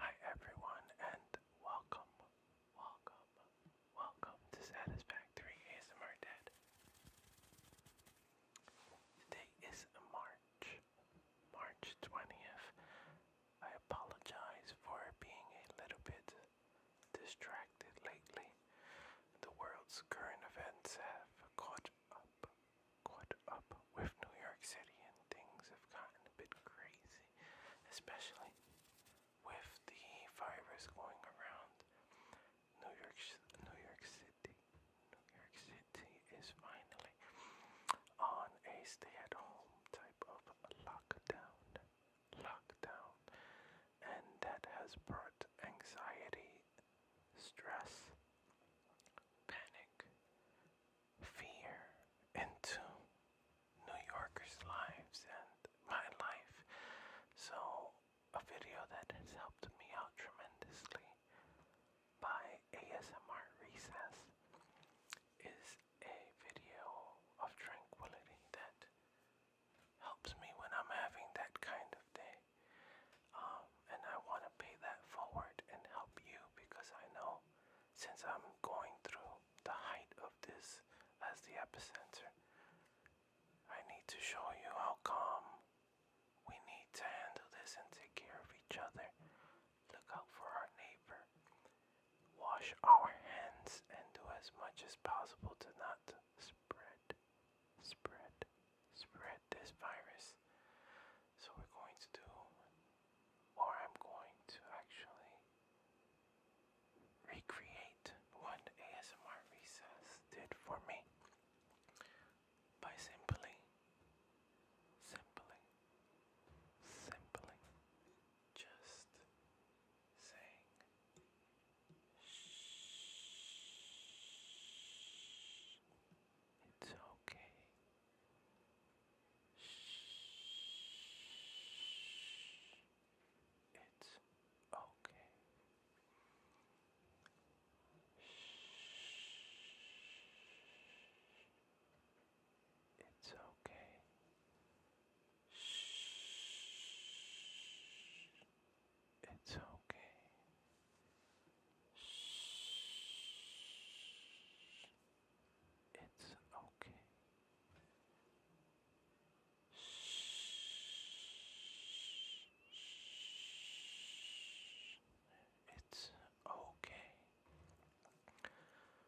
Hi everyone and welcome, welcome, welcome to Satisfactory ASMR Dead. Today is March, March 20th. I apologize for being a little bit distracted lately. The world's current events have caught up, caught up with New York City, and things have gotten a bit crazy, especially with the virus going around. New York, New York City, New York City is finally on a stay-at-home type of lockdown, lockdown, and that has brought anxiety, stress, panic, fear into New Yorkers' lives and my life. So, a video that has helped me out tremendously by ASMR Recess is a video of tranquility that helps me when I'm having that kind of day. Um, and I want to pay that forward and help you because I know since I'm going through the height of this as the epicenter, I need to show you how calm we need to handle this and take care of each other. Look out for our neighbor. Wash our hands and do as much as possible to not spread, spread, spread this virus. So we're going to do, or I'm going to actually recreate what ASMR Recess did for me by simply, simply, simply just saying shh, it's okay. Shh, it's okay. Shh, it's okay. Shh. It's okay. Shh. It's okay. Shh. It's okay.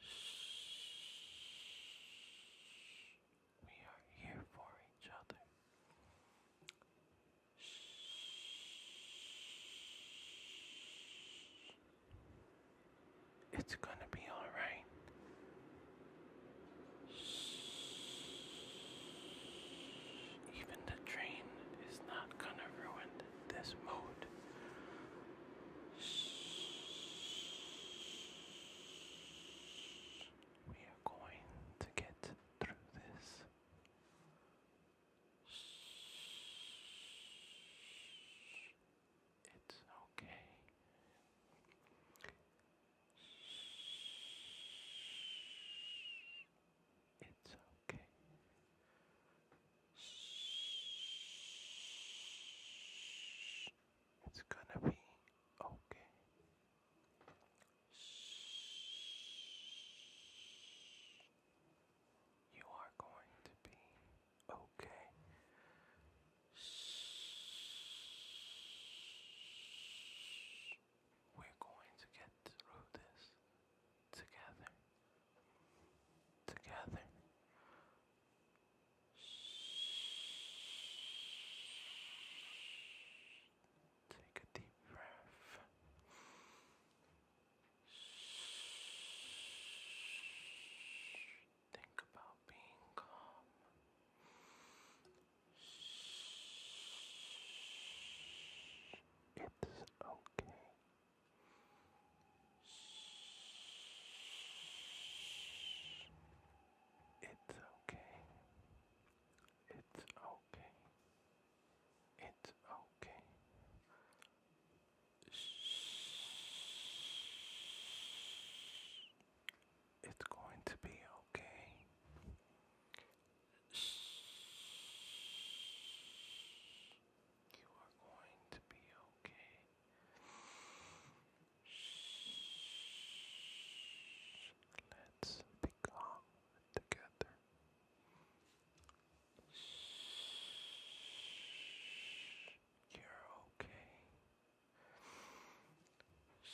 Shh. We are here for each other. It's gonna be alright. Even the train is not gonna ruin this mood. We are going to get through this. It's okay. It's okay. Shh. It's gonna be okay. Shh. You are going to be okay. Shh. We're going to get through this together, together. Shh. Take a deep breath. Shh. Think about being calm. Shh. It's okay. It's okay. It's okay. It's okay. It's going to be okay. Shh. You are going to be okay. Shh. Let's be calm together. Shh. You're okay. Shh.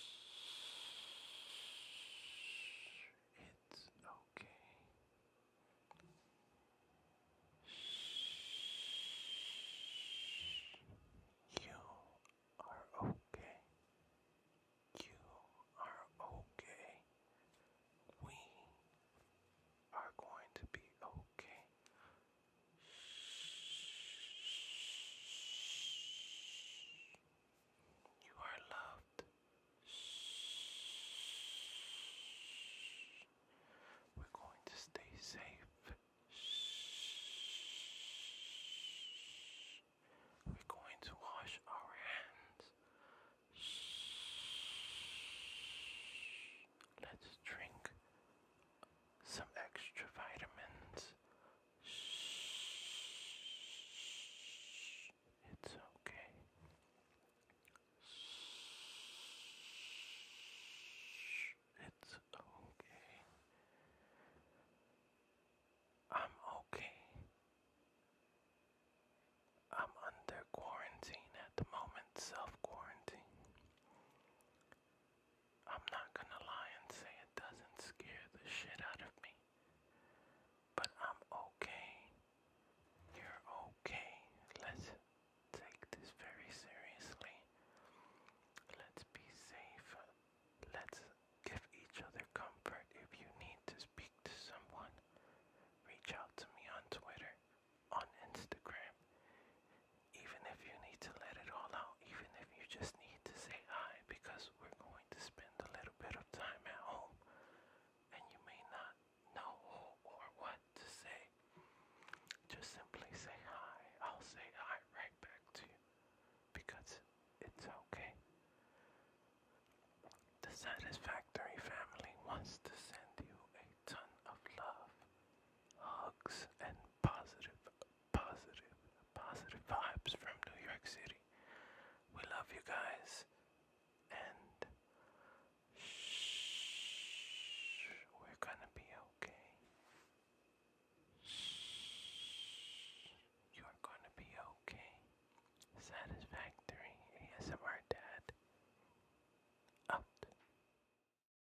It's okay. You are okay. You are okay. We are going to be okay. You are loved. We're going to stay safe. We're going to wash our hands. Let's drink some extra vitamins. It's okay. It's okay. I'm okay. I'm under quarantine at the moment, self quarantine. I'm not gonna lie and say it doesn't scare the shit out of me. But I'm okay. You're okay. Let's take this very seriously. Let's be safe. Let's give each other comfort. If you need to speak to someone, reach out to me on Twitter, on Instagram even if you need to let it all out, even if you just need to say hi, because we're going to spend a little bit of time at home and you may not know who or what to say, just simply say hi. I'll say hi right back to you because it's okay. The Satisfactory family wants to send you a ton of love, hugs, and positive positive, positive vibes from New York City. We love you guys. And shh, we're gonna be okay. Shh, you're gonna be okay. Satisfactory ASMR Dad. Out.